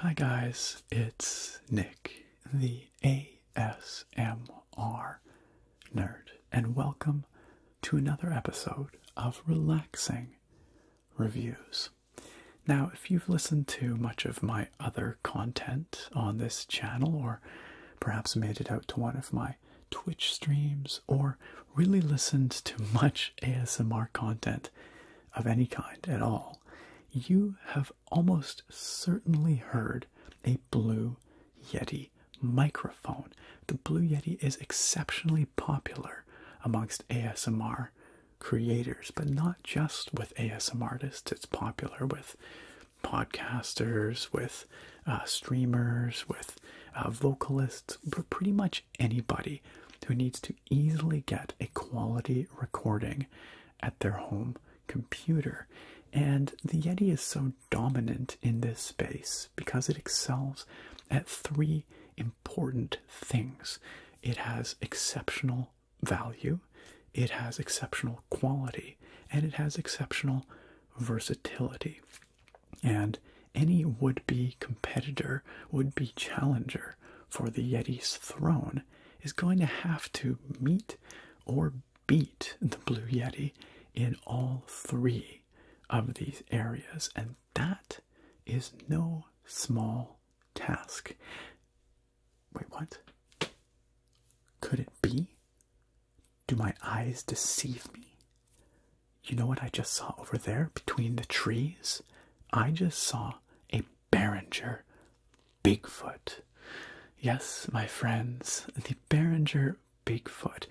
Hi guys, it's Nick, the ASMR nerd, and welcome to another episode of Relaxing Reviews. Now, if you've listened to much of my other content on this channel, or perhaps made it out to one of my Twitch streams, or really listened to much ASMR content of any kind at all, you have almost certainly heard a Blue Yeti microphone. The Blue Yeti is exceptionally popular amongst ASMR creators, but not just with ASM artists. It's popular with podcasters, with uh, streamers, with uh, vocalists, but pretty much anybody who needs to easily get a quality recording at their home computer. And the Yeti is so dominant in this space because it excels at three important things. It has exceptional value, it has exceptional quality, and it has exceptional versatility. And any would be competitor, would be challenger for the Yeti's throne is going to have to meet or beat the Blue Yeti in all three of these areas. And that is no small task. Wait, what? Could it be? Do my eyes deceive me? You know what I just saw over there between the trees? I just saw a Behringer Bigfoot. Yes, my friends, the Behringer Bigfoot.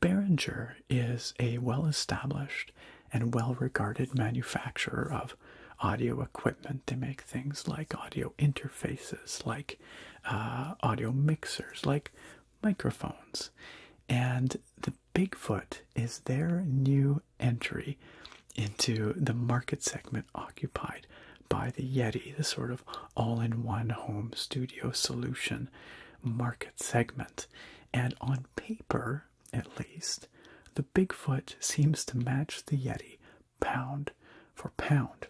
Behringer is a well established and well regarded manufacturer of audio equipment. They make things like audio interfaces, like uh, audio mixers, like microphones. And the Bigfoot is their new entry into the market segment occupied by the Yeti, the sort of all in one home studio solution market segment. And on paper, at least, the Bigfoot seems to match the Yeti pound for pound.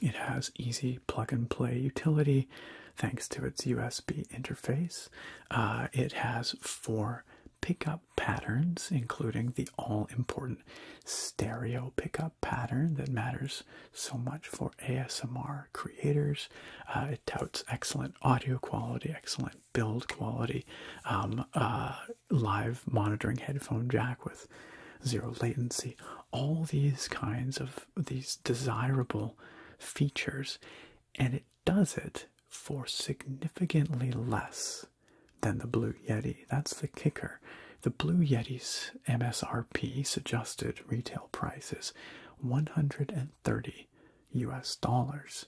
It has easy plug and play utility thanks to its USB interface. Uh, it has four pickup patterns, including the all important stereo pickup pattern that matters so much for ASMR creators. Uh, it touts excellent audio quality, excellent build quality um, uh, live monitoring headphone jack with zero latency all these kinds of these desirable features and it does it for significantly less than the blue yeti that's the kicker the blue yeti's msrp suggested retail prices: 130 us dollars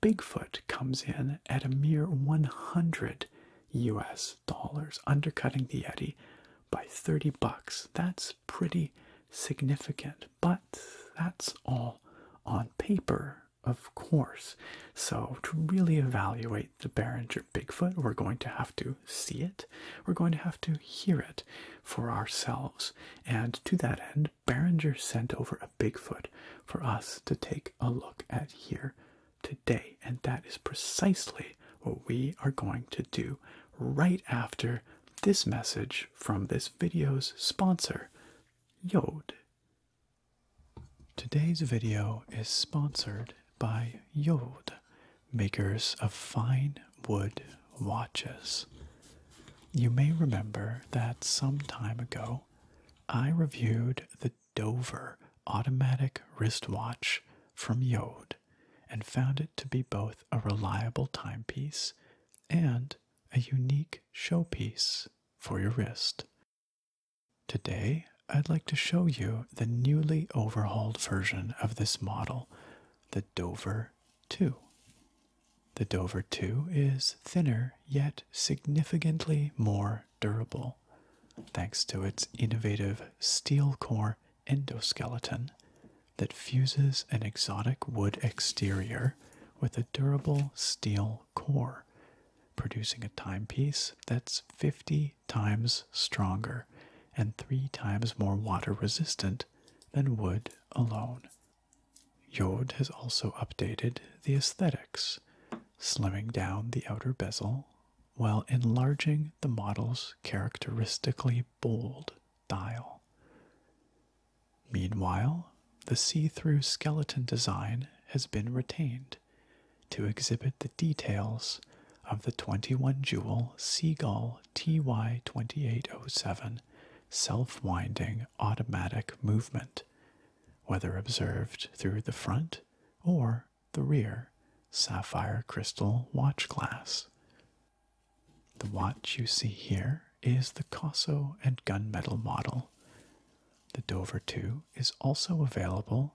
Bigfoot comes in at a mere 100 US dollars, undercutting the Yeti by 30 bucks. That's pretty significant, but that's all on paper, of course. So, to really evaluate the Behringer Bigfoot, we're going to have to see it, we're going to have to hear it for ourselves. And to that end, Behringer sent over a. Bigfoot for us to take a look at here today. And that is precisely what we are going to do right after this message from this video's sponsor, Yod. Today's video is sponsored by Yod, makers of fine wood watches. You may remember that some time ago I reviewed the Dover automatic wristwatch from Yode and found it to be both a reliable timepiece and a unique showpiece for your wrist. Today, I'd like to show you the newly overhauled version of this model, the Dover 2. The Dover 2 is thinner yet significantly more durable, thanks to its innovative steel core endoskeleton that fuses an exotic wood exterior with a durable steel core, producing a timepiece that's 50 times stronger and three times more water resistant than wood alone. Yod has also updated the aesthetics, slimming down the outer bezel while enlarging the model's characteristically bold dial. Meanwhile, the see through skeleton design has been retained to exhibit the details of the 21 jewel Seagull TY2807 self winding automatic movement, whether observed through the front or the rear sapphire crystal watch glass. The watch you see here is the Cosso and Gunmetal model. The Dover 2 is also available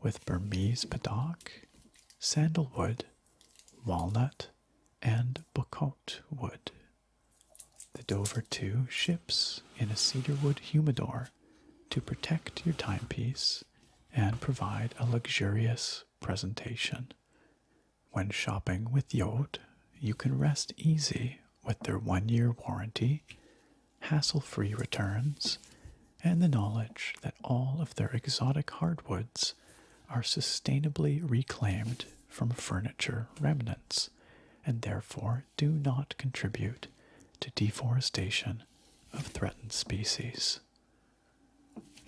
with Burmese Padauk, sandalwood, walnut, and bocote wood the Dover Two ships in a cedarwood humidor to protect your timepiece and provide a luxurious presentation. When shopping with Yod, you can rest easy with their one year warranty, hassle free returns, and the knowledge that all of their exotic hardwoods are sustainably reclaimed from furniture remnants and therefore do not contribute to deforestation of threatened species.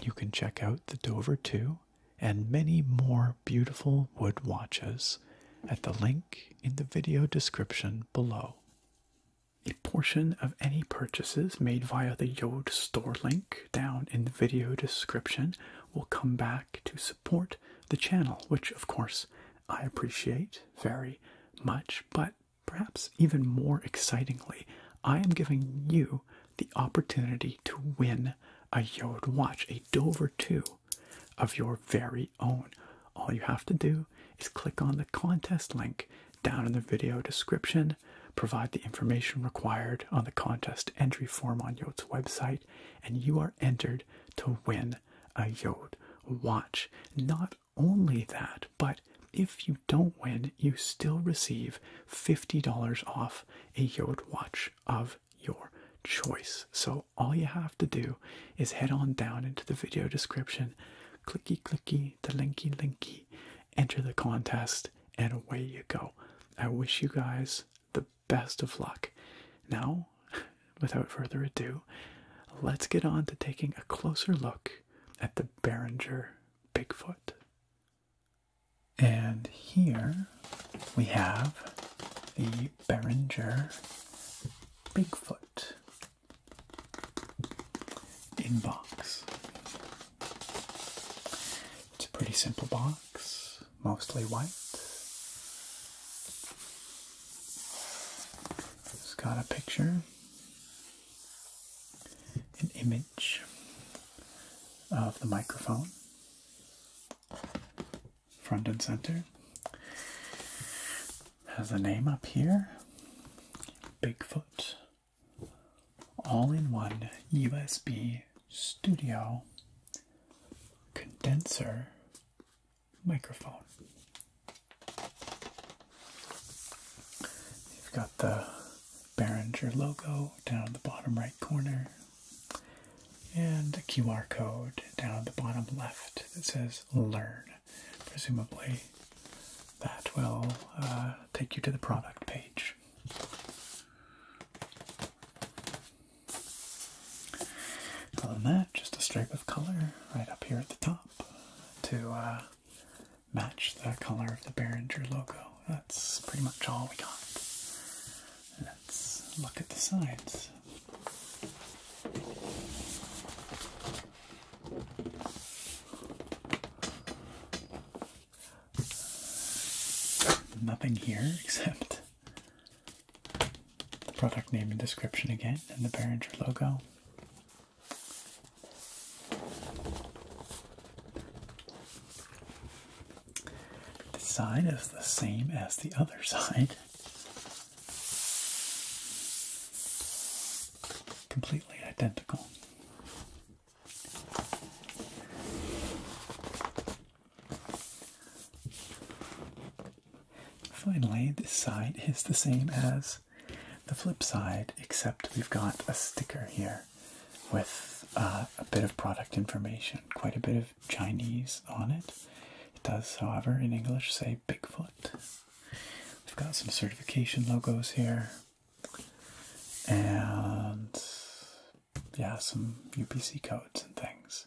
You can check out the Dover 2 and many more beautiful wood watches at the link in the video description below. A portion of any purchases made via the Yode store link down in the video description will come back to support support the channel, which of course I appreciate very much. But perhaps even more excitingly, I am giving you the opportunity to win a yacht watch, a Dover 2 of your very own. All you have to do is click on the contest link down in the video description, provide the information required on the contest entry form on Yod's website, and you are entered to win a Yod watch. Not only that, but if you don't win, you still receive $50 off a Yod watch of your choice. So all you have to do is head on down into the video description, clicky clicky, the linky linky, enter the contest, and away you go. I wish you guys the best of luck. Now, without further ado, let's get on to taking a closer look at the Behringer Bigfoot. And here we have the Behringer Bigfoot in box. It's a pretty simple box mostly white. It's got a picture, an image of the microphone, front and center. Has a name up here, Bigfoot. All in one USB studio condenser microphone. You've got the Behringer logo down in the bottom right corner and the QR code down at the bottom left that says learn. Presumably that will uh, take you to the product page. Other than that, just a stripe of color right up here at the top to uh, match the color of the Behringer logo. That's pretty much all we got. Let's look at the sides. Nothing here except Product name and description again, and the Barringer logo. The side is the same as the other side. Completely identical. Finally, this side is the same as the flip side, except we've got a sticker here with uh, a bit of product information, quite a bit of Chinese on it. It does, however, in English say Bigfoot. We've got some certification logos here, and yeah, some UPC codes and things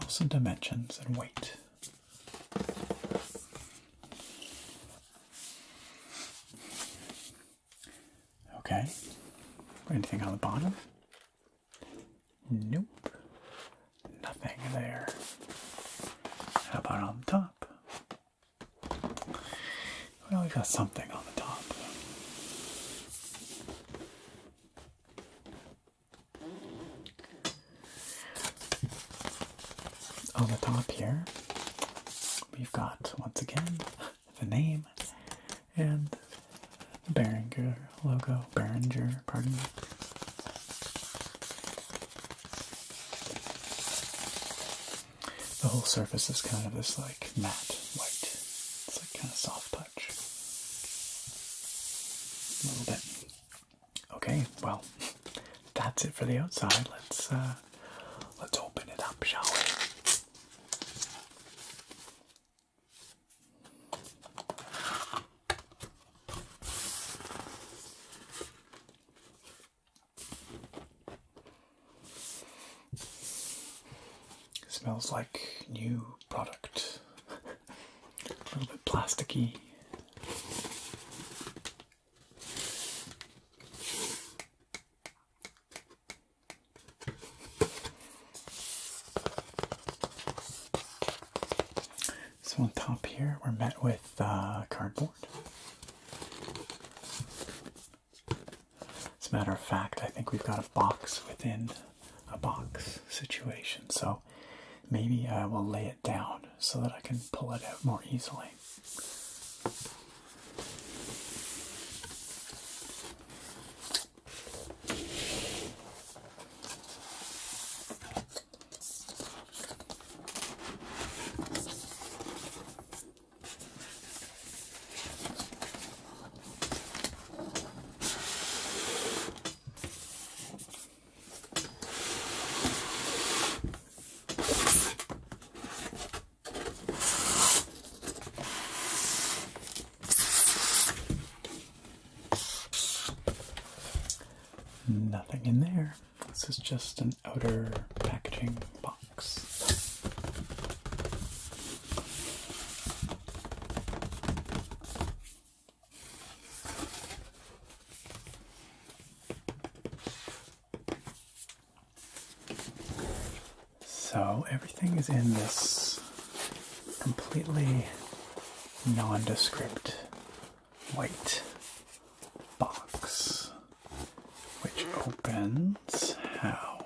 also dimensions and weight. Okay. Anything on the bottom? Nope. Nothing there. How about on the top? Well, we got something on the top. On the top here, we've got once again the name and the Behringer logo. Behringer, pardon me. The whole surface is kind of this like matte white. It's like kind of soft touch. A little bit. Okay, well, that's it for the outside. Let's uh, let's open it up, shall we? smells like new product. A little bit plasticky. So on top here, we're met with uh, cardboard. As a matter of fact, I think we've got a box within a box situation. So maybe I will lay it down so that I can pull it out more easily. Nothing in there. This is just an outer packaging box. So everything is in this completely nondescript white box, which opens how?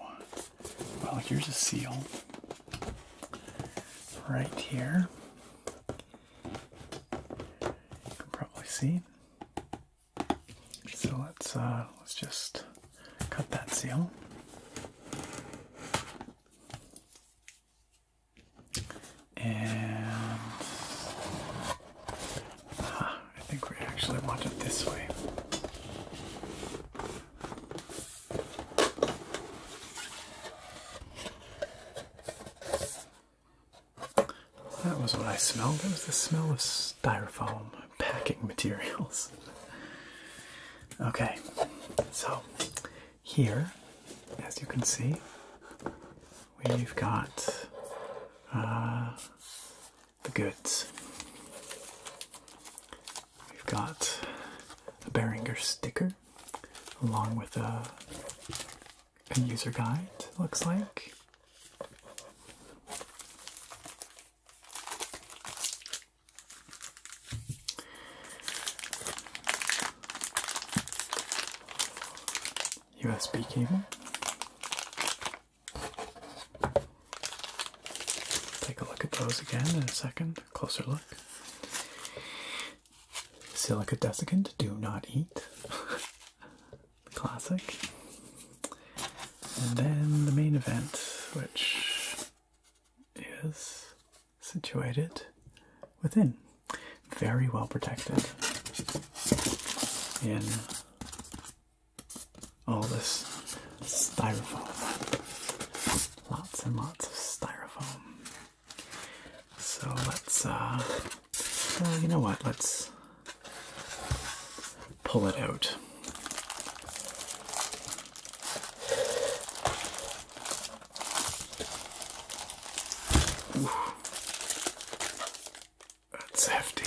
Well, here's a seal right here. You can probably see. So let's uh, let's just cut that seal. And ah, I think we actually want it this way. That was what I smelled. That was the smell of styrofoam packing materials. okay, so here, as you can see, we've got uh, the goods. We've got a Behringer sticker along with a, a user guide, looks like. USB cable. Take a look at those again in a second, closer look. Silica desiccant, do not eat. Classic. And then the main event, which is situated within. Very well protected in all this styrofoam. Lots and lots of styrofoam. So let's, uh, uh, you know what? Let's pull it out. That's hefty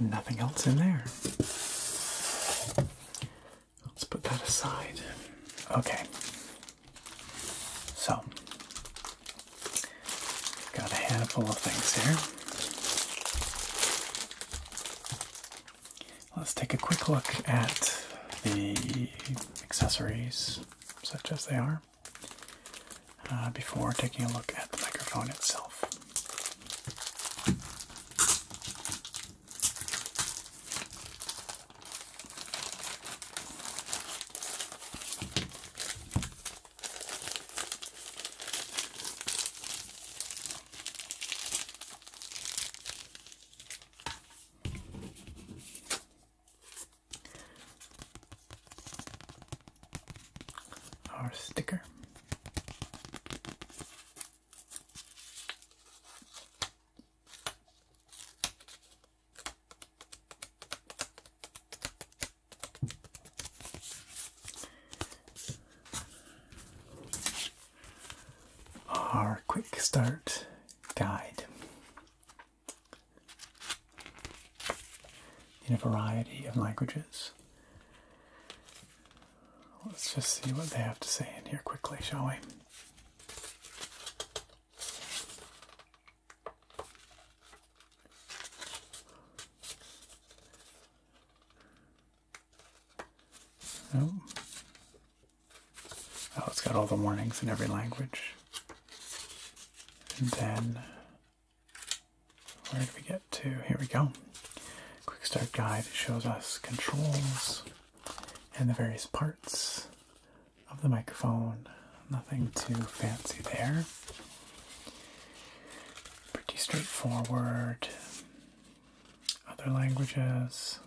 nothing else in there. Let's put that aside. Okay. So, got a handful of things here. Let's take a quick look at the accessories, such as they are. Uh, before taking a look at the microphone itself our sticker. Our quick start guide in a variety of languages. Let's just see what they have to say in here quickly, shall we? Oh. oh, it's got all the warnings in every language. And then where do we get to? Here we go. Quick start guide shows us controls and the various parts of the microphone. Nothing too fancy there. Pretty straightforward. Other languages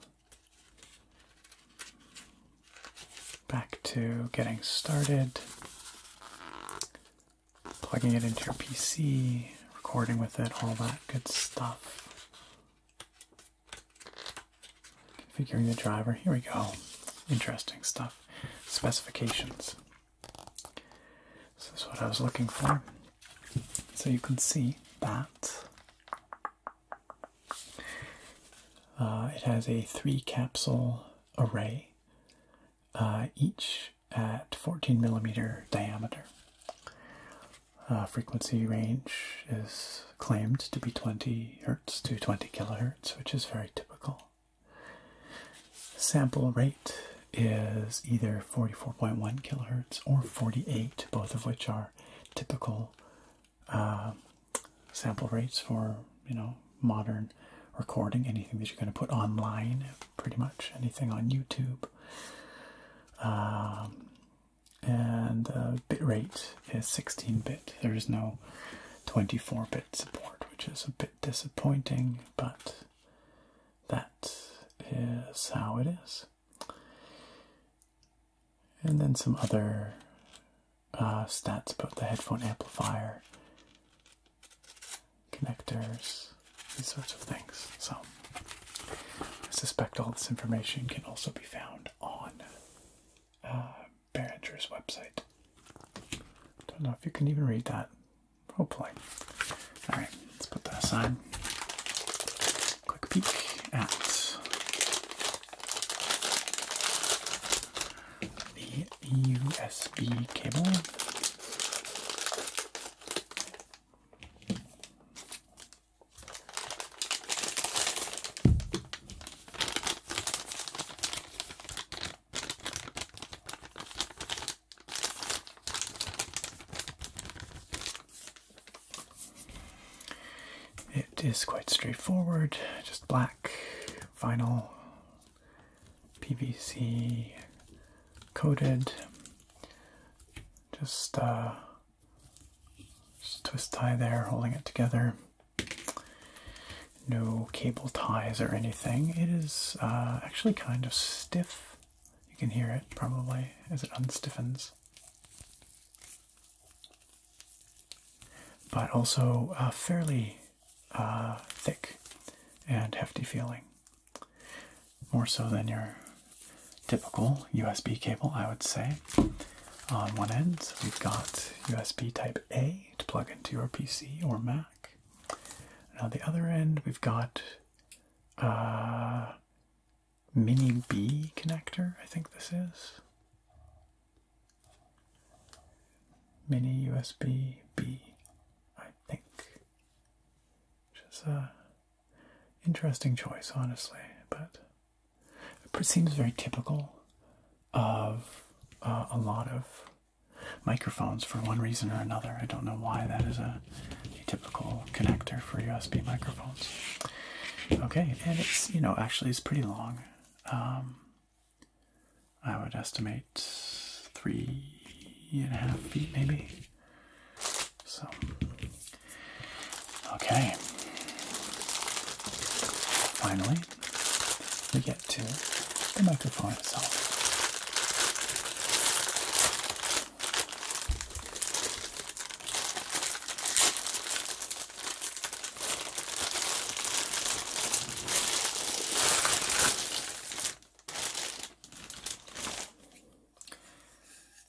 back to getting started, plugging it into your PC, recording with it, all that good stuff. Configuring the driver, here we go. Interesting stuff. Specifications. This is what I was looking for. So you can see that uh, it has a three capsule array uh, each at 14 millimeter diameter. Uh, frequency range is claimed to be 20 hertz to 20 kilohertz, which is very typical. Sample rate is either 44.1 kilohertz or 48, both of which are typical uh, sample rates for you know modern recording, anything that you're going to put online, pretty much anything on YouTube. Um, and uh, bit rate is 16 bit. There is no 24 bit support, which is a bit disappointing, but that is how it is. And then some other uh, stats about the headphone amplifier, connectors, these sorts of things. So I suspect all this information can also be found on uh, Behringer's website. Don't know if you can even read that. Hopefully. All right, let's put that aside. Quick peek at the USB cable. It is quite straightforward, just black vinyl PVC coated. Just, uh, twist tie there, holding it together. No cable ties or anything. It is uh, actually kind of stiff. You can hear it probably as it unstiffens. But also uh, fairly uh, thick and hefty feeling. More so than your typical USB cable, I would say. On one end, so we've got USB Type A to plug into your PC or Mac. Now, the other end, we've got a uh, Mini B connector, I think this is mini USB B, I think. Which is a interesting choice, honestly, but it seems very typical of uh, a lot of microphones for one reason or another. I don't know why that is a, typical connector for USB microphones. Okay, and it's, you know, actually it's pretty long. Um, I would estimate three and a half feet, maybe. So, okay. Finally, we get to the microphone itself.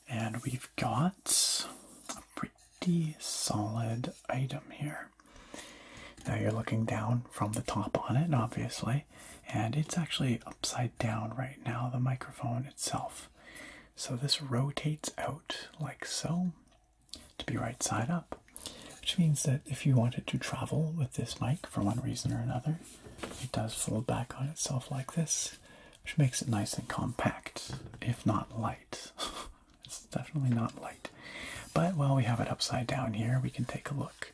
And we've got a pretty solid item here. Now you're looking down from the top on it, obviously, and it's actually upside down right now, the microphone itself. So this rotates out like so to be right side up which means that if you wanted to travel with this mic for one reason or another, it does fold back on itself like this, which makes it nice and compact, if not light. it's definitely not light. But while we have it upside down here, we can take a look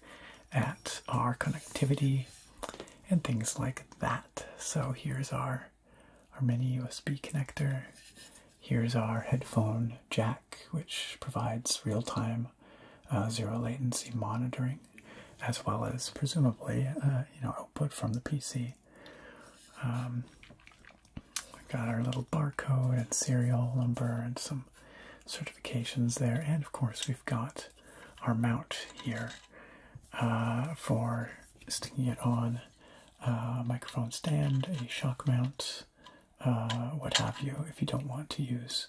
at our connectivity and things like that. So here's our, our mini USB connector. Here's our headphone jack, which provides real time uh, zero latency monitoring, as well as presumably uh, you know output from the PC. Um, we've got our little barcode and serial number and some certifications there, and of course we've got our mount here uh, for sticking it on a microphone stand, a shock mount. Uh, what have you, if you don't want to use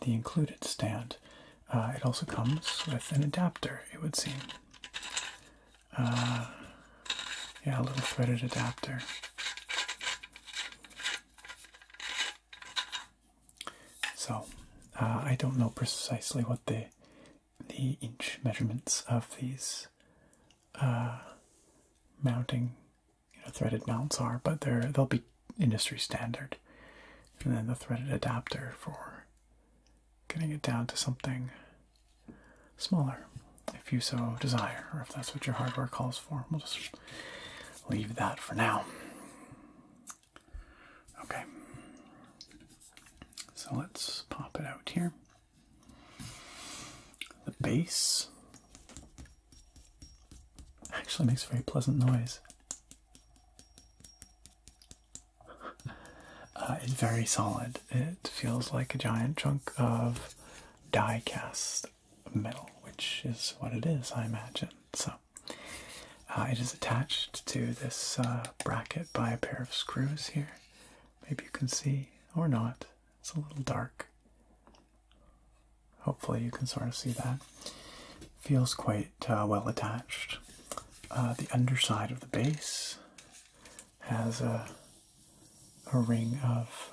the included stand. Uh, it also comes with an adapter, it would seem. Uh, yeah, a little threaded adapter. So, I don't know precisely what the the inch measurements of these mounting you know, threaded mounts are, but they're they'll be industry standard. And then the threaded adapter for getting it down to something smaller, if you so desire, or if that's what your hardware calls for. We'll just leave that for now. Okay. So let's pop it out here. The base Actually makes a very pleasant noise. Uh, it's very solid. It feels like a giant chunk of die cast metal, which is what it is, I imagine. So uh, it is attached to this uh, bracket by a pair of screws here. Maybe you can see or not. It's a little dark. Hopefully, you can sort of see that. Feels quite uh, well attached. Uh, the underside of the base has a, a ring of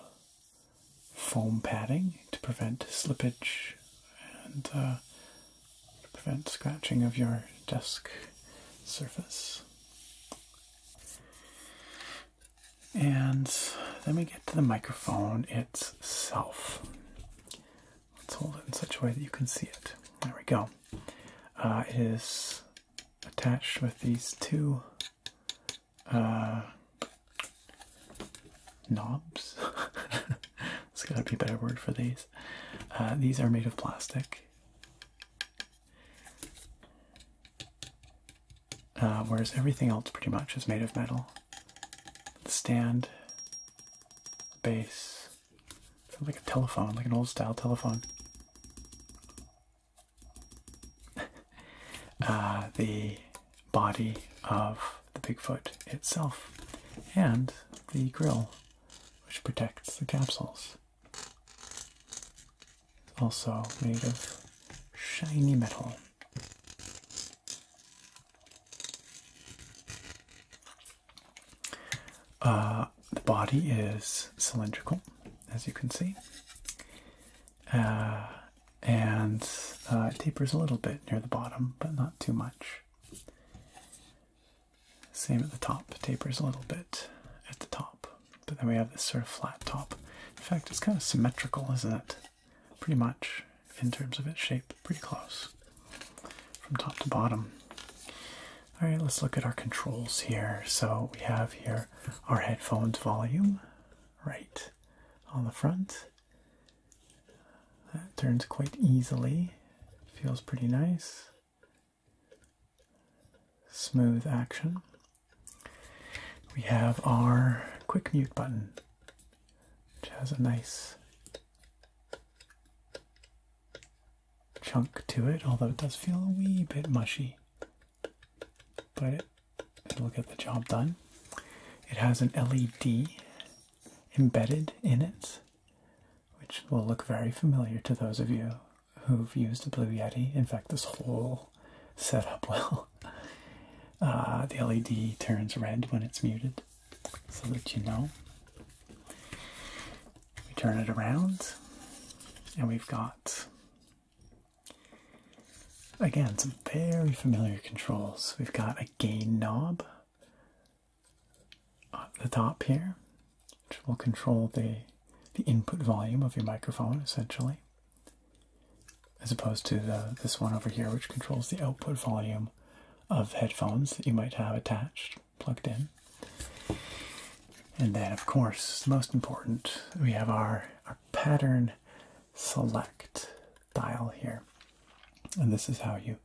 foam padding to prevent slippage and uh, prevent scratching of your desk surface. And then we get to the microphone itself. Let's hold it in such a way that you can see it. There we go. Uh, it is attached with these two uh, knobs. There's got to be a better word for these. Uh, these are made of plastic. Uh, whereas everything else pretty much is made of metal. The stand, base, base, like a telephone, like an old style telephone. Uh, the body of the Bigfoot itself, and the grill, which protects the capsules. It's also made of shiny metal. Uh, the body is cylindrical, as you can see, uh, and uh, it tapers a little bit near the bottom, but not too much. Same at the top, tapers a little bit at the top, but then we have this sort of flat top. In fact, it's kind of symmetrical, isn't it? pretty much in terms of its shape, pretty close from top to bottom. All right, let's look at our controls here. So we have here our headphones volume right on the front. That turns quite easily, feels pretty nice. Smooth action. We have our quick mute button which has a nice chunk to it, although it does feel a wee bit mushy. But it, will get the job done. It has an LED embedded in it, which will look very familiar to those of you who've used a Blue Yeti. In fact, this whole setup will. Uh, the LED turns red when it's muted, so that you know. We turn it around, and we've got again some very familiar controls. We've got a gain knob at the top here, which will control the the input volume of your microphone essentially as opposed to this one over here, which controls the output volume of headphones that you might have attached, plugged in. And then, of course, most important, we have our, pattern select dial here. And this is how you,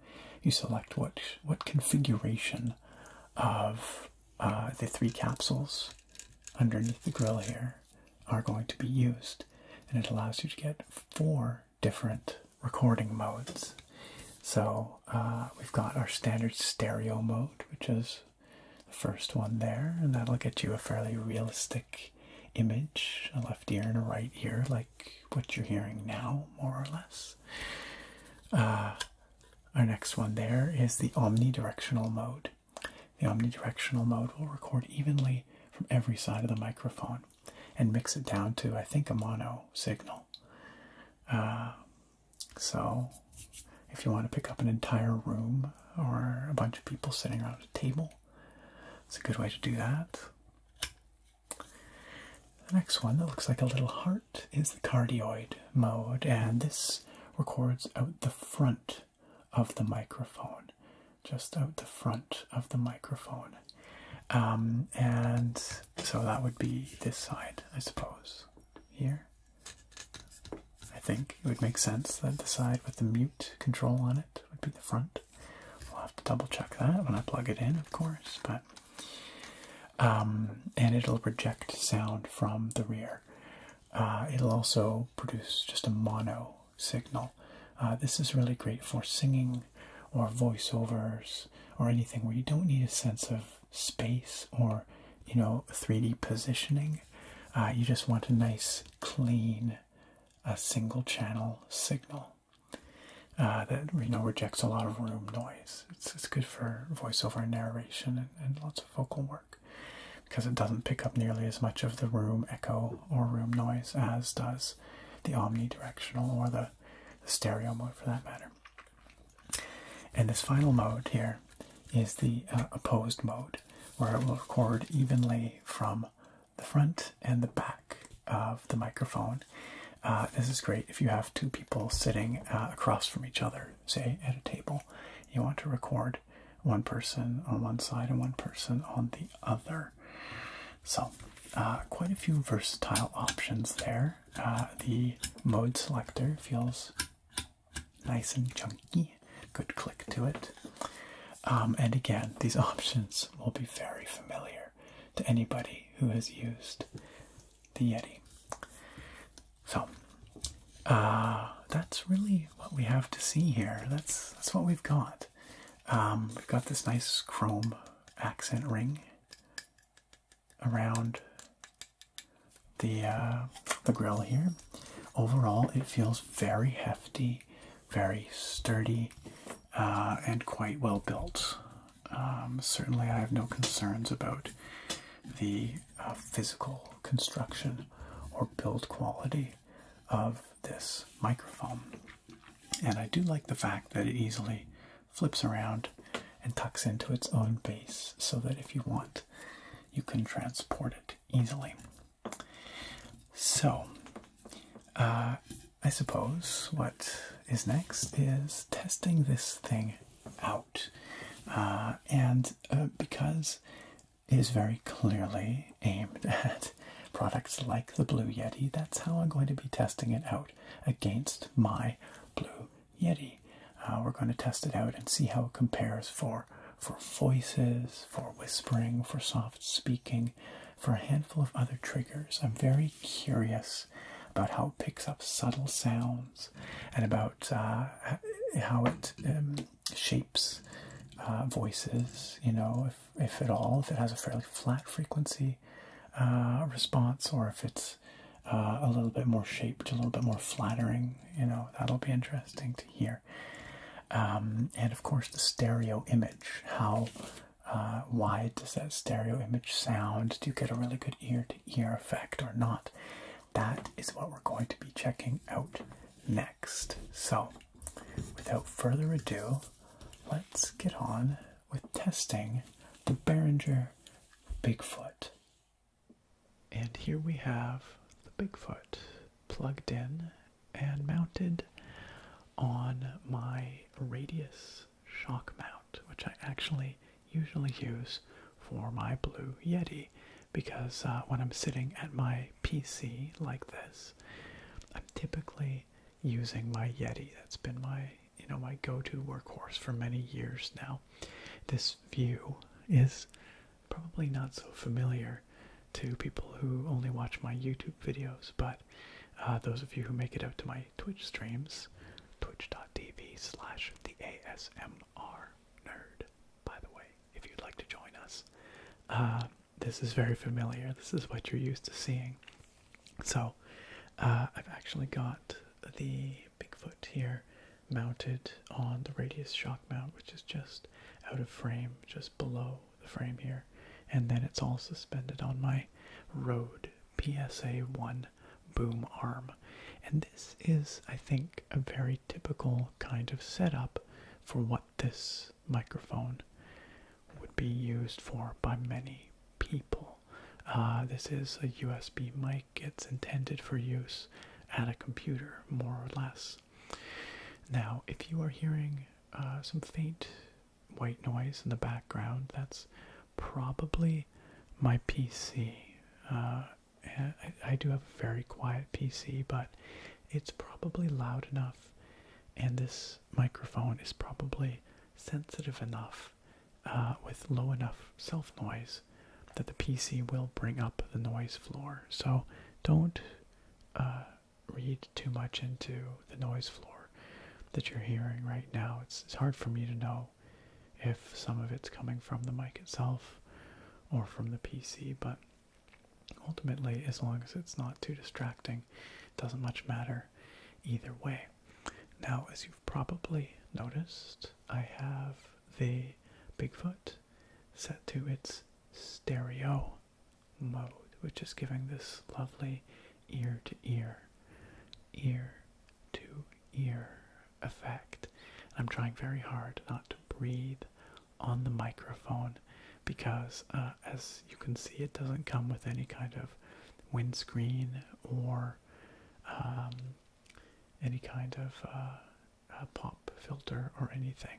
you select what, what configuration of uh, the three capsules underneath the grill here are going to be used. And it allows you to get four different recording modes. So uh, we've got our standard stereo mode, which is the first one there, and that'll get you a fairly realistic image a left ear and a right ear, like what you're hearing now, more or less. Uh, our next one there is the omnidirectional mode. The omnidirectional mode will record evenly from every side of the microphone, and mix it down to I think a mono signal. Uh, so if you want to pick up an entire room or a bunch of people sitting around a table, it's a good way to do that. The next one that looks like a little heart is the cardioid mode, and this records out the front of the microphone just out the front of the microphone. Um, and so that would be this side, I suppose. Here. I think it would make sense that the side with the mute control on it would be the front. We'll have to double check that when I plug it in, of course, but. Um, and it'll project sound from the rear. Uh, it'll also produce just a mono signal. Uh, this is really great for singing or voiceovers or anything where you don't need a sense of space or you know 3D positioning. Uh, you just want a nice clean a single channel signal uh, that you know rejects a lot of room noise. It's, it's good for voiceover narration and lots of vocal work because it doesn't pick up nearly as much of the room echo or room noise as does the omnidirectional or the, stereo mode for that matter. And this final mode here is the uh, opposed mode, where it will record evenly from the front and the back of the microphone. Uh, this is great if you have two people sitting uh, across from each other, say at a table. You want to record one person on one side and one person on the other. So, uh, quite a few versatile options there. Uh, the mode selector feels nice and chunky, good click to it. Um, and again, these options will be very familiar to anybody who has used the Yeti. So, uh, that's really what we have to see here. That's that's what we've got. Um, we've got this nice chrome accent ring around the uh, the grill here. Overall, it feels very hefty, very sturdy, uh, and quite well built. Um, certainly, I have no concerns about the uh, physical construction or build quality of this microphone. And I do like the fact that it easily flips around and tucks into its own base so that if you want, you can transport it easily. So, uh, I suppose what is next is testing this thing out. Uh, and uh, because it is very clearly aimed at products like the Blue Yeti, that's how I'm going to be testing it out against my Blue Yeti. Uh, we're going to test it out and see how it compares for for voices, for whispering, for soft speaking, for a handful of other triggers. I'm very curious about how it picks up subtle sounds and about uh, how it um, shapes uh, voices. You know, if if at all, if it has a fairly flat frequency uh, response, or if it's uh, a little bit more shaped, a little bit more flattering, you know, that'll be interesting to hear. Um, and of course, the stereo image. How uh, wide does that stereo image sound? Do you get a really good ear to ear effect or not? That is what we're going to be checking out next. So, without further ado, let's get on with testing the Behringer Bigfoot. And here we have the Bigfoot plugged in and mounted on my Radius shock mount, which I actually usually use for my Blue Yeti because uh, when I'm sitting at my PC like this, I'm typically using my Yeti. That's been my you know my go-to workhorse for many years now. This view is probably not so familiar to people who only watch my YouTube videos, but uh, those of you who make it out to my Twitch streams, twitch.tv slash the ASMR nerd, by the way, if you'd like to join us. Uh, this is very familiar. This is what you're used to seeing. So, uh, I've actually got the Bigfoot here mounted on the radius shock mount, which is just out of frame, just below the frame here. And then it's all suspended on my Rode PSA 1 boom arm. And this is, I think, a very typical kind of setup for what this microphone would be used for by many people. Uh, this is a USB mic, it's intended for use at a computer, more or less. Now, if you are hearing uh, some faint white noise in the background, that's probably my PC. Uh, I do have a very quiet PC, but it's probably loud enough, and this microphone is probably sensitive enough uh, with low enough self noise that the PC will bring up the noise floor. So don't uh, read too much into the noise floor that you're hearing right now. it's hard for me to know if some of it's coming from the mic itself or from the PC, but ultimately, as long as it's not too distracting, it doesn't much matter either way. Now, as you've probably noticed, I have the Bigfoot set to its stereo mode, which is giving this lovely ear to ear, ear to ear effect. I'm trying very hard not to breathe on the microphone because, uh, as you can see, it doesn't come with any kind of windscreen or um, any kind of uh, pop filter or anything.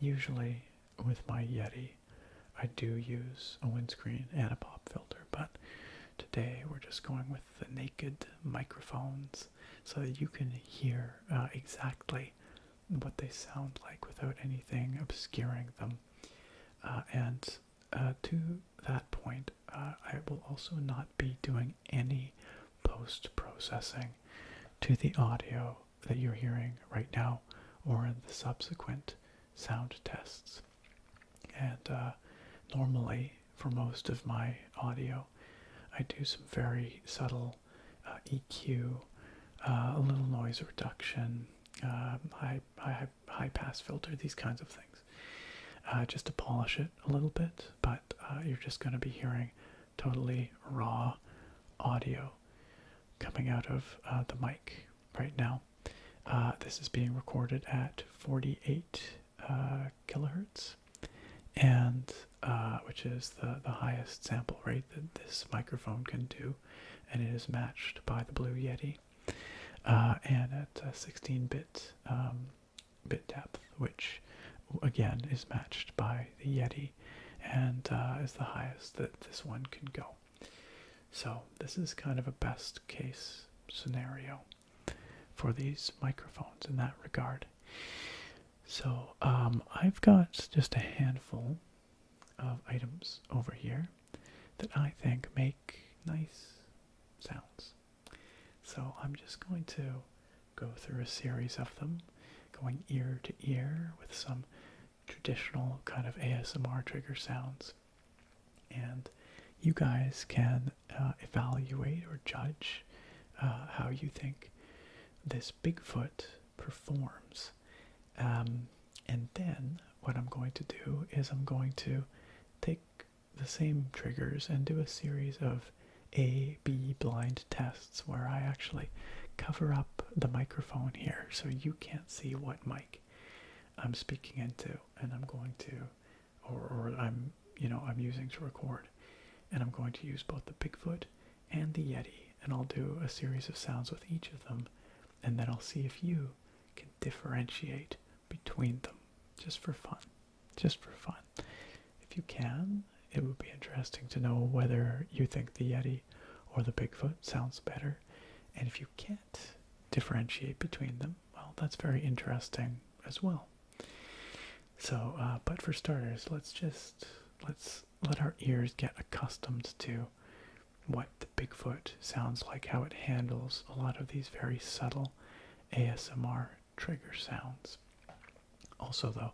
Usually with my Yeti, I do use a windscreen and a pop filter, but today we're just going with the naked microphones so that you can hear uh, exactly what they sound like without anything obscuring them. Uh, and uh, to that point, uh, I will also not be doing any post processing to the audio that you're hearing right now or the subsequent sound tests. And uh, normally, for most of my audio, I do some very subtle EQ, a little noise reduction. Um, I, I high pass filter, these kinds of things, uh, just to polish it a little bit. But uh, you're just going to be hearing totally raw audio coming out of uh, the mic right now. this is being recorded at 48 kilohertz, and which is the the highest sample rate that this microphone can do, and it is matched by the Blue Yeti. Uh, and at uh, 16 bit um, bit depth, which again is matched by the Yeti, and uh, is the highest that this one can go. So this is kind of a best case scenario for these microphones in that regard. So um, I've got just a handful of items over here that I think make nice sounds. So I'm just going to go through a series of them, going ear to ear with some traditional kind of ASMR trigger sounds. And you guys can uh, evaluate or judge uh, how you think this Bigfoot performs. Um, and then what I'm going to do is I'm going to take the same triggers and do a series of A, B blind tests where I actually cover up the microphone here so you can't see what mic I'm speaking into and I'm going to or, or I'm you know I'm using to record and I'm going to use both the Bigfoot and the Yeti and I'll do a series of sounds with each of them and then I'll see if you can differentiate between them just for fun. Just for fun. If you can, it would be interesting to know whether you think the Yeti or the Bigfoot sounds better. And if you can't differentiate between them, well, that's very interesting as well. So, uh, but for starters, let's just let's let our ears get accustomed to what the Bigfoot sounds like, how it handles a lot of these very subtle ASMR trigger sounds. Also, though,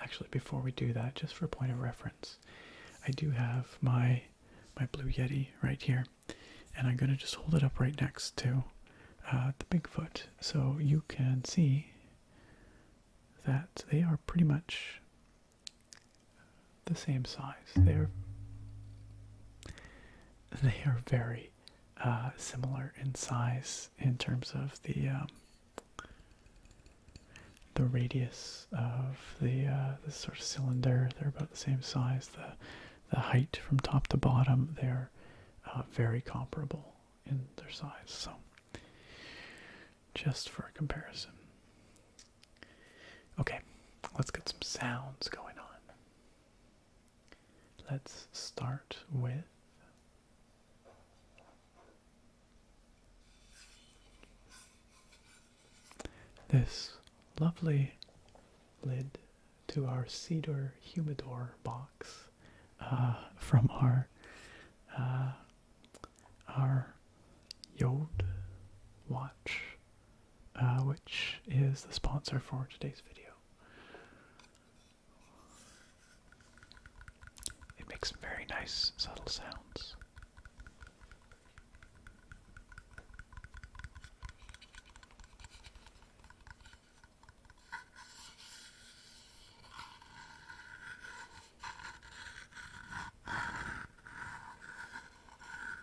actually, before we do that, just for point of reference, I do have my my Blue Yeti right here, and I'm gonna just hold it up right next to uh, the Bigfoot, so you can see that they are pretty much the same size. They're they are very uh, similar in size in terms of the um, the radius of the uh, the sort of cylinder. They're about the same size. The the height from top to bottom. They are uh, very comparable in their size. So just for a comparison. Okay, let's get some sounds going on. Let's start with this lovely lid to our cedar humidor box uh, from our uh, our Yod watch uh, which is the sponsor for today's video. It makes very nice, subtle sounds.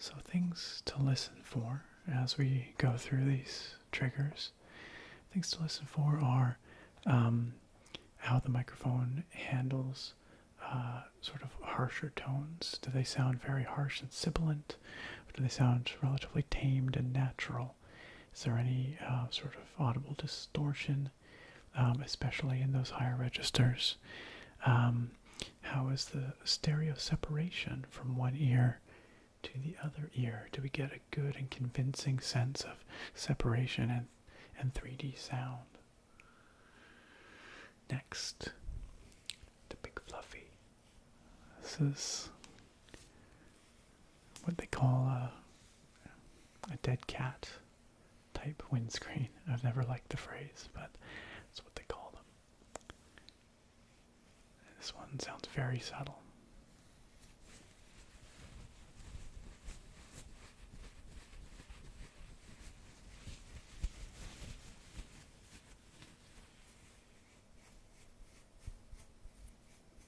So, things to listen for as we go through these triggers. Things to listen for are um, how the microphone handles uh, sort of harsher tones. Do they sound very harsh and sibilant, do they sound relatively tamed and natural? Is there any uh, sort of audible distortion, um, especially in those higher registers? Um, how is the stereo separation from one ear to the other ear? Do we get a good and convincing sense of separation and, and 3D sound? Next, the Big Fluffy. This what they call a, dead cat type windscreen. I've never liked the phrase, but that's what they call them. This one sounds very subtle.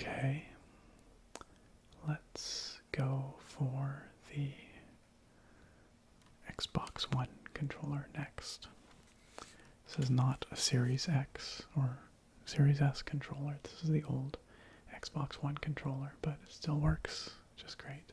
Okay, let's go for the Xbox One controller next. This is not a Series X or Series S controller. This is the old Xbox One controller, but it still works just great.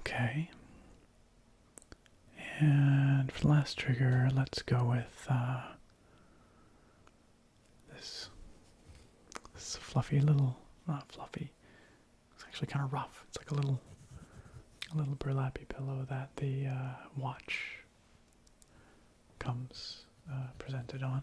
Okay. And for the last trigger, let's go with uh, this. This fluffy little, not fluffy. It's actually kind of rough. It's like a little a little burlappy pillow that the uh, watch comes uh, presented on.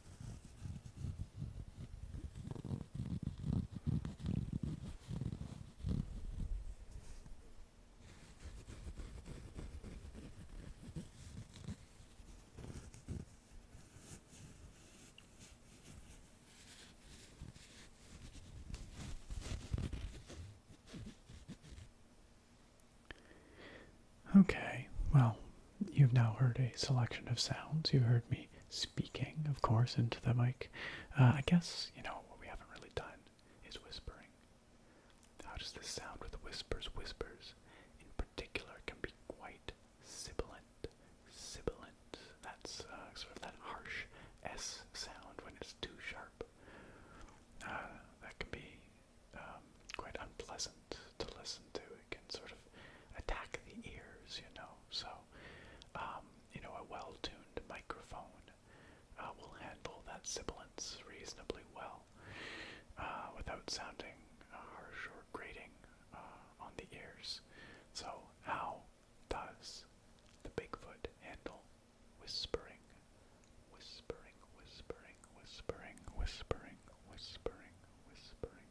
Okay, well, You've now heard a selection of sounds. You heard me speaking, of course, into the mic. Uh, I guess, you know, what we haven't really done is whispering. How does this sound with whispers? Whispers, in particular, can be quite sibilant. Sibilant. That's uh, sort of that harsh S sound when it's too sharp. Uh, that can be um, quite unpleasant to listen to. It can sort of attack the ears, you know. So, um, you know, a well-tuned microphone uh, will handle that sibilance reasonably well uh, without sounding uh, harsh or grating uh, on the ears. So, how does the Bigfoot handle whispering? Whispering, whispering, whispering, whispering, whispering, whispering,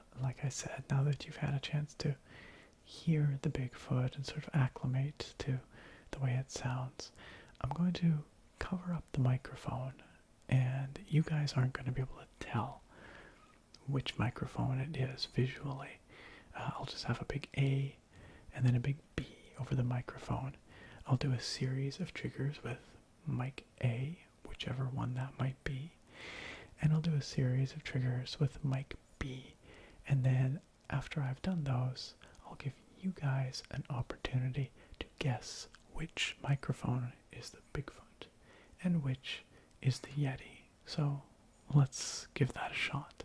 like I said, now that you've had a chance to hear the Bigfoot and sort of acclimate to the way it sounds, I'm going to cover up the microphone, and you guys aren't going to be able to tell which microphone it is visually. Uh, I'll just have a big A and then a big B over the microphone. I'll do a series of triggers with Mic A, whichever one that might be. And I'll do a series of triggers with Mic B. And then after I've done those, I'll give you guys an opportunity to guess which microphone is the Bigfoot and which is the Yeti. So let's give that a shot.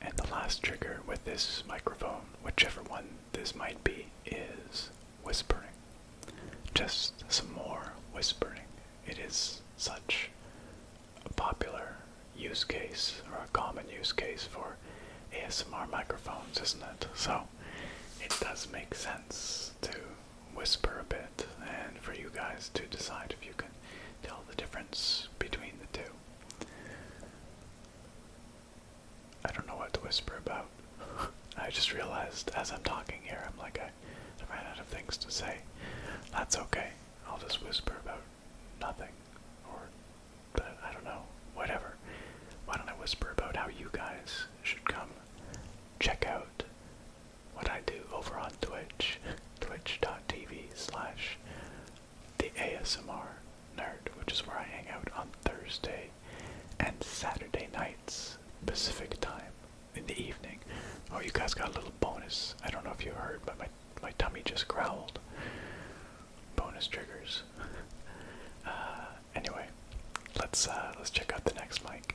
And the last trigger with this microphone, whichever one this might be, is whispering. Just some more whispering it is such a popular use case or a common use case for ASMR microphones, isn't it? So it does make sense to whisper a bit and for you guys to decide if you can tell the difference between the two. I don't know what to whisper about. I just realized as I'm talking here, I'm like, okay. I ran out of things to say. That's okay. I'll just whisper about nothing. Or, uh, I don't know. Whatever. Why don't I whisper about how you guys should come check out what I do over on Twitch. Twitch.tv slash the ASMR nerd, which is where I hang out on Thursday and Saturday nights, Pacific time in the evening. Oh, you guys got a little bonus. I don't know if you heard, but my my tummy just growled. Bonus triggers. Uh, anyway, let's uh, let's check out the next mic.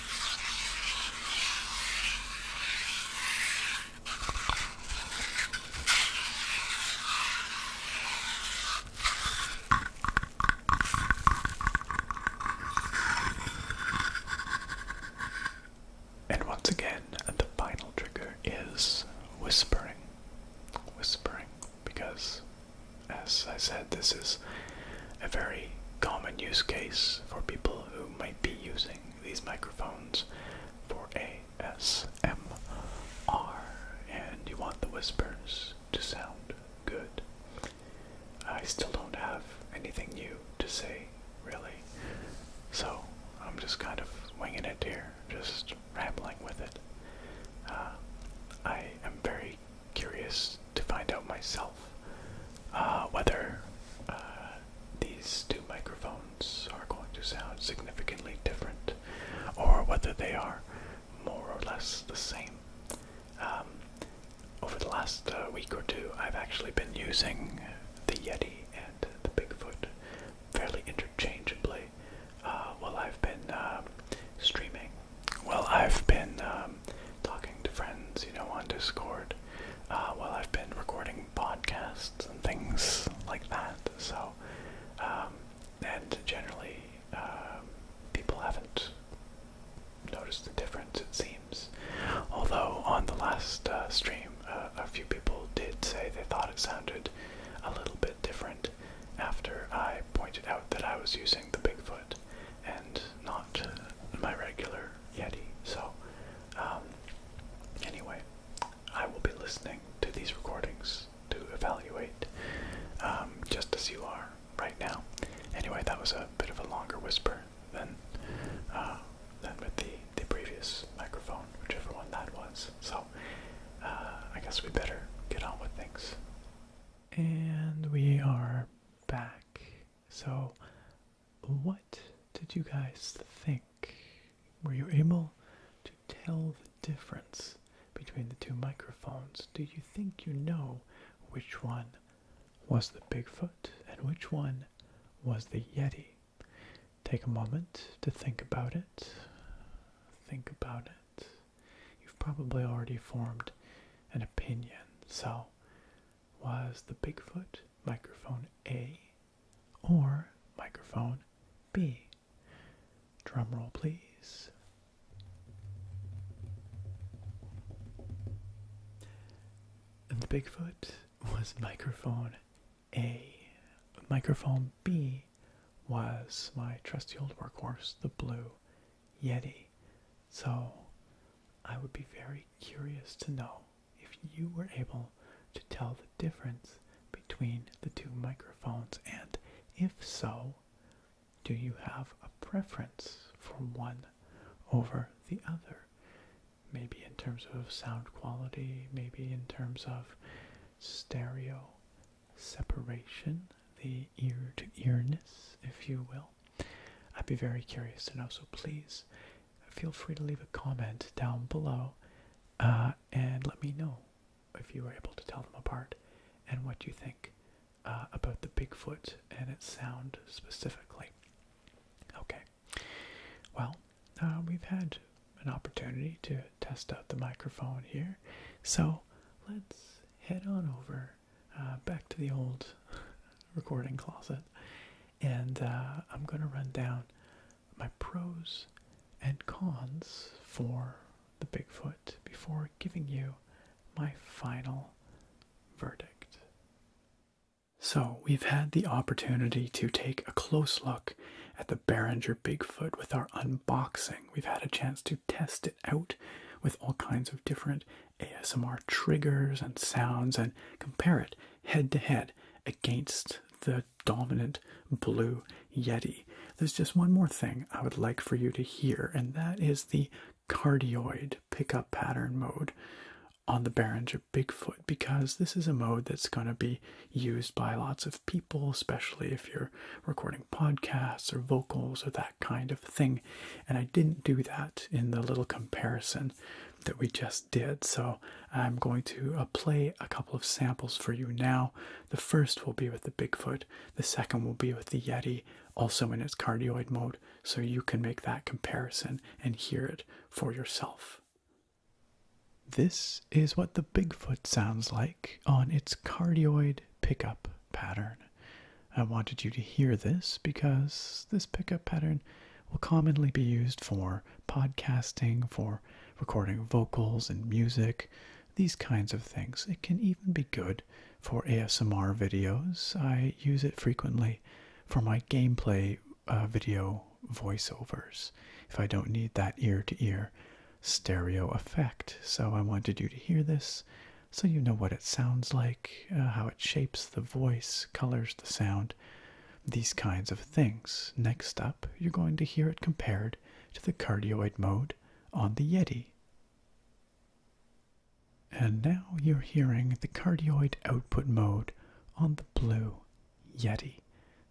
And once again, the final trigger is whispering. Whispering, because as I said, this is a very common use case for people who might be using these microphones for ASMR, and you want the whispers to sound good. I still don't have anything new to say, really, so I'm just kind of winging it here, just rambling with it. Uh, I am very curious to find out myself uh, whether uh, these two microphones are going to sound significantly different, or whether they are more or less the same. Um, over the last uh, week or two, I've actually been using the Yeti and the Bigfoot fairly interchangeably uh, while I've been um, streaming. Well, I've been um, talking to friends, you know, on Discord, uh, while I've been recording podcasts and things like that. So, um, and generally, um, people haven't noticed the difference, it seems. Although, on the last uh, stream, uh, a few people did say they thought it sounded a little bit different after I pointed out that I was using the Bigfoot and not my regular Yeti. So, um, anyway, I will be listening to these recordings to evaluate, um, just as you are right now. Anyway, that was a bit of a longer whisper than uh, than with the the previous microphone, whichever one that was. So uh, I guess we better get on with things. And we are back. So what did you guys think? Were you able to tell the difference between the two microphones? Do you think you know which one was the Bigfoot and which one was the Yeti? Take a moment to think about it. Think about it. You've probably already formed an opinion, so was the Bigfoot microphone A or microphone B? Drumroll, please. And the Bigfoot was microphone A. Microphone B was my trusty old workhorse, the Blue Yeti. So I would be very curious to know if you were able to tell the difference between the two microphones, and if so, do you have a preference for one over the other? Maybe in terms of sound quality, maybe in terms of stereo separation, the ear to earness, if you will. I'd be very curious to know, so please feel free to leave a comment down below uh, and let me know if you were able to tell them apart and what you think uh, about the Bigfoot and its sound specifically. Okay, well, uh, we've had an opportunity to test out the microphone here, so let's head on over back to the old recording closet and uh, I'm going to run down my pros and cons for the Bigfoot before giving you my final verdict. So, we've had the opportunity to take a close look at the Behringer Bigfoot with our unboxing. We've had a chance to test it out with all kinds of different ASMR triggers and sounds and compare it head to head against the dominant blue yeti. There's just one more thing I would like for you to hear, and that is the cardioid pickup pattern mode on the Behringer Bigfoot, because this is a mode that's going to be used by lots of people, especially if you're recording podcasts or vocals or that kind of thing. And I didn't do that in the little comparison that we just did. So I'm going to uh, play a couple of samples for you now. The first will be with the Bigfoot, the second will be with the Yeti, also in its cardioid mode, so you can make that comparison and hear it for yourself. This is what the Bigfoot sounds like on its cardioid pickup pattern. I wanted you to hear this because this pickup pattern will commonly be used for podcasting, for recording vocals and music, these kinds of things. It can even be good for ASMR videos. I use it frequently for my gameplay uh, video voiceovers if I don't need that ear to ear stereo effect. So I wanted you to hear this so you know what it sounds like, uh, how it shapes the voice, colors the sound these kinds of things. Next up, you're going to hear it compared to the cardioid mode on the Yeti. And now you're hearing the cardioid output mode on the blue Yeti.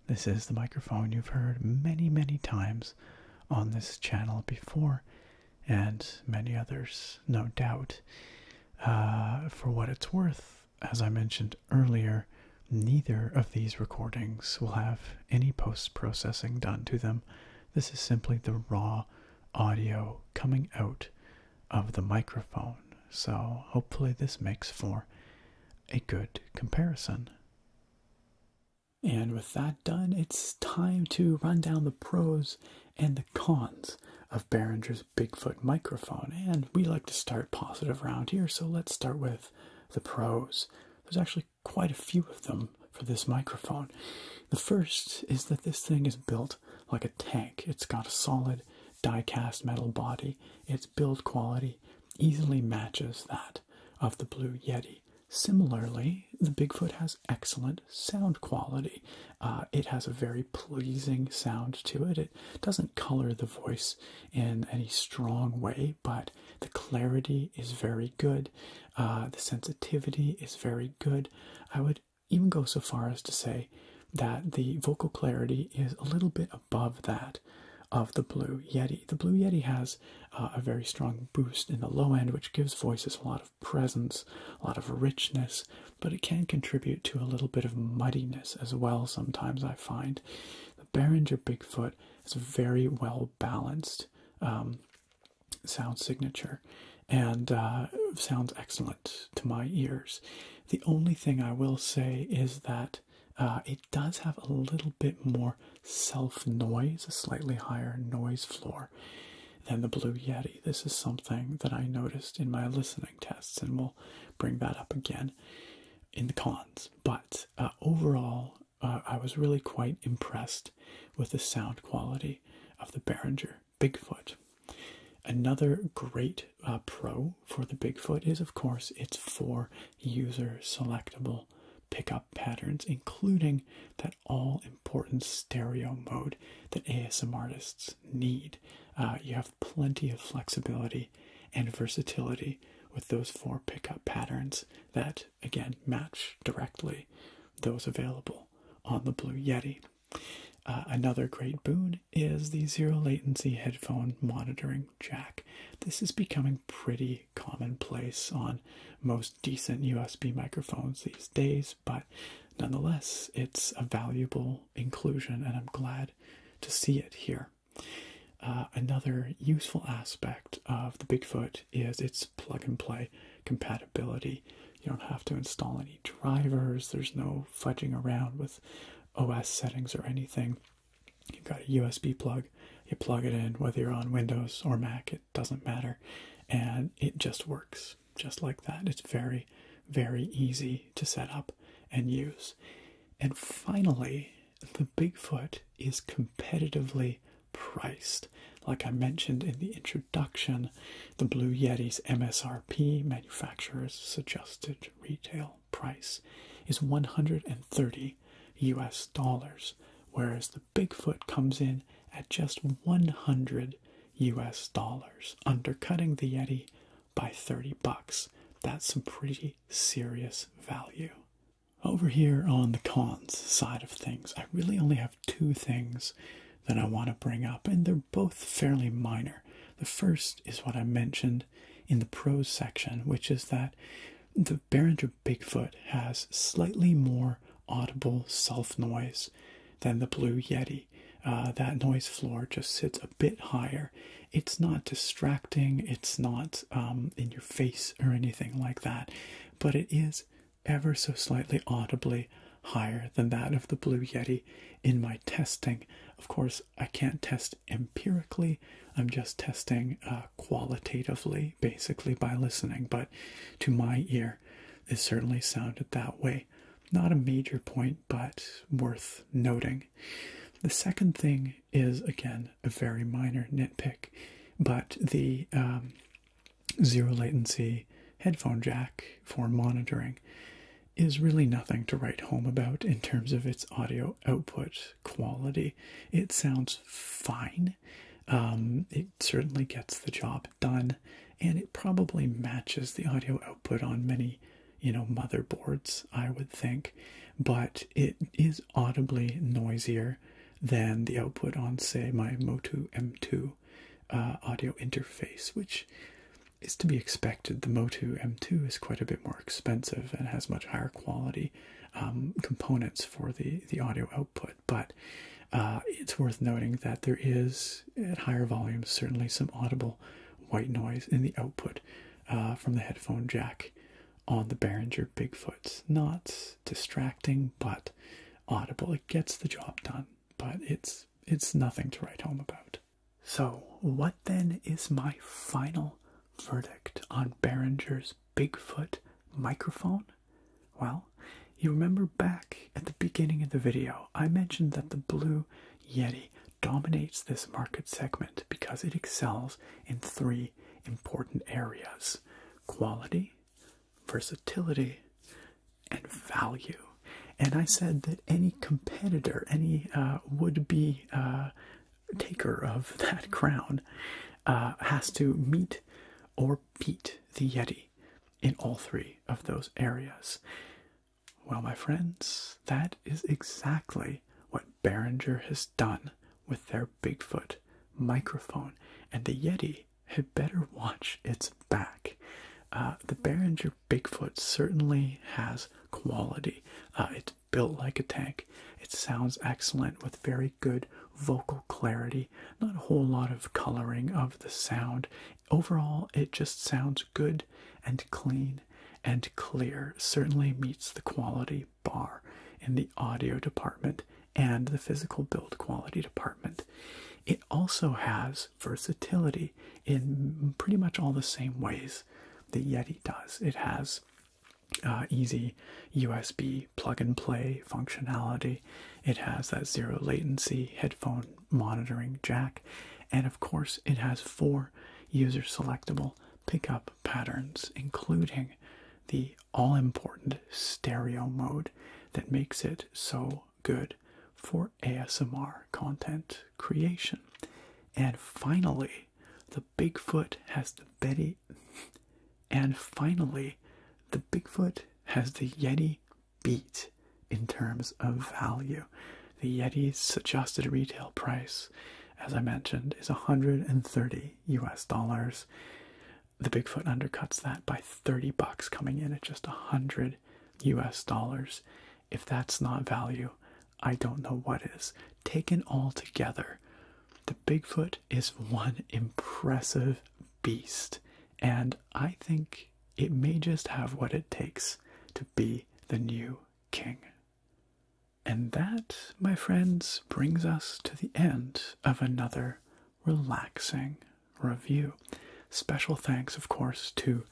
This is the microphone you've heard many, many times on this channel before, and many others, no doubt. Uh, for what it's worth, as I mentioned earlier, neither of these recordings will have any post processing done to them. This is simply the raw audio coming out of the microphone. So, hopefully, this makes for a good comparison. And with that done, it's time to run down the pros and the cons of Behringer's Bigfoot microphone, and we like to start positive around here, so let's start with the pros. There's actually quite a few of them for this microphone. The first is that this thing is built like a tank. It's got a solid die-cast metal body. Its build quality easily matches that of the Blue Yeti. Similarly, the Bigfoot has excellent sound quality. Uh, it has a very pleasing sound to it doesn't color the voice in any strong way, but the clarity is very good. Uh, the sensitivity is very good. I would even go so far as to say that the vocal clarity is a little bit above that of the Blue Yeti. The Blue Yeti has uh, a very strong boost in the low end, which gives voices a lot of presence, a lot of richness, but it can contribute to a little bit of muddiness as well. Sometimes I find the Behringer Bigfoot has a very well balanced um, sound signature and uh, sounds excellent to my ears. The only thing I will say is that uh, it does have a little bit more self noise, a slightly higher noise floor than the Blue Yeti. This is something that I noticed in my listening tests, and we'll bring that up again in the cons. But uh, overall, uh, I was really quite impressed with the sound quality of the Behringer Bigfoot. Another great uh, pro for the Bigfoot is, of course, its four user selectable pickup patterns, including that all important stereo mode that ASM artists need. you have plenty of flexibility and versatility with those four pickup patterns that again match directly those available on the Blue Yeti. Uh, another great boon is the zero latency headphone monitoring jack. This is becoming pretty commonplace on most decent USB microphones these days, but nonetheless, it's a valuable inclusion and I'm glad to see it here. Uh, another useful aspect of the Bigfoot is its plug and play compatibility. You don't have to install any drivers, there's no fudging around with OS settings or anything. You've got a USB plug, you plug it in, whether you're on Windows or Mac, it doesn't matter, and it just works just like that. It's very, very easy to set up and use. And finally, the Bigfoot is competitively priced. Like I mentioned in the introduction, the Blue Yeti's MSRP, manufacturer's suggested retail price, is 130 US dollars, whereas the Bigfoot comes in at just 100 US dollars, undercutting the Yeti by 30 bucks. That's some pretty serious value. Over here on the cons side of things, I really only have two things that I want to bring up, and they're both fairly minor. The first is what I mentioned in the pros section, which is that the Behringer Bigfoot has slightly more audible self noise than the Blue Yeti. Uh, that noise floor just sits a bit higher it's not distracting, it's not um, in your face or anything like that, but it is ever so slightly audibly higher than that of the Blue Yeti in my testing. Of course, I can't test empirically, I'm just testing uh, qualitatively, basically by listening, but to my ear, it certainly sounded that way. Not a major point, but worth noting. The second thing is, again, a very minor nitpick, but the um, zero latency headphone jack for monitoring is really nothing to write home about in terms of its audio output quality. It sounds fine. Um, it certainly gets the job done, and it probably matches the audio output on many you know, motherboards, I would think, but it is audibly noisier than the output on, say, my Motu M2 uh, audio interface, which is to be expected. The Motu M2 is quite a bit more expensive and has much higher quality um, components for the, the audio output, but uh, it's worth noting that there is, at higher volumes, certainly some audible white noise in the output uh, from the headphone jack on the Behringer Bigfoot's. Not distracting, but audible. It gets the job done, but it's it's nothing to write home about. So, what then is my final verdict on Behringer's Bigfoot microphone? Well, you remember back at the beginning of the video, I mentioned that the blue Yeti dominates this market segment because it excels in three important areas quality, versatility, and value. And I said that any competitor, any uh, would be uh, taker of that crown, uh, has to meet or beat the Yeti in all three of those areas. Well, my friends, that is exactly what Behringer has done with their Bigfoot microphone, and the Yeti had better watch its back. Uh, the Behringer Bigfoot certainly has quality. Uh, it's built like a tank. It sounds excellent with very good vocal clarity, not a whole lot of coloring of the sound. Overall, it just sounds good and clean and clear certainly meets the quality bar in the audio department and the physical build quality department. It also has versatility in pretty much all the same ways that Yeti does. It has uh, easy USB plug and play functionality, it has that zero latency headphone monitoring jack, and of course, it has four user selectable pickup patterns, including the all important stereo mode that makes it so good for ASMR content creation. And finally, the Bigfoot has the Betty. And finally, the Bigfoot has the Yeti beat in terms of value. The Yeti's suggested retail price, as I mentioned, is 130 US dollars. The Bigfoot undercuts that by 30 bucks, coming in at just 100 US dollars. If that's not value, I don't know what is. Taken all together, the Bigfoot is one impressive beast, and I think it may just have what it takes to be the new king. And that, my friends, brings us to the end of another relaxing review. Special thanks, of course, to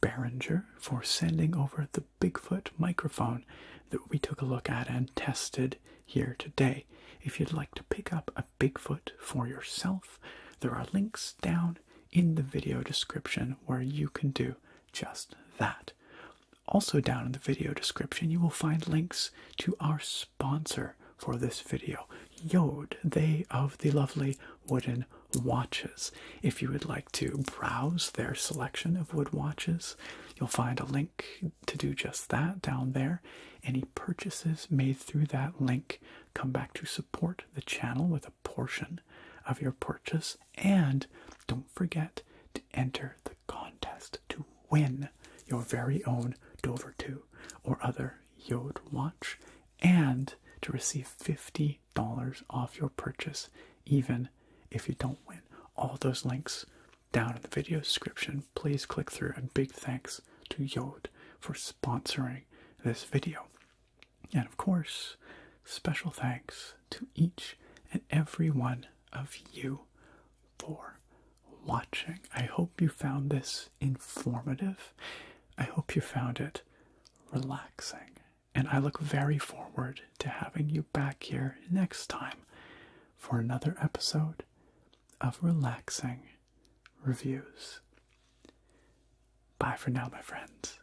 Behringer for sending over the Bigfoot microphone that we took a look at and tested here today. If you'd like to pick up a Bigfoot for yourself, there are links down in the video description where you can do just that. Also, down in the video description, you will find links to our sponsor for this video, Yode, they of the lovely wooden watches. If you would like to browse their selection of wood watches, you'll find a link to do just that down there. Any purchases made through that link come back to support the channel with a portion of your purchase and don't forget to enter the contest to win your very own Dover 2 or other Yod watch and to receive $50 off your purchase even if you don't win. All those links down in the video description. Please click through and big thanks to Yod for sponsoring this video. And of course, special thanks to each and every one of you for watching. I hope you found this informative. I hope you found it relaxing. And I look very forward to having you back here next time for another episode of Relaxing Reviews. Bye for now, my friends.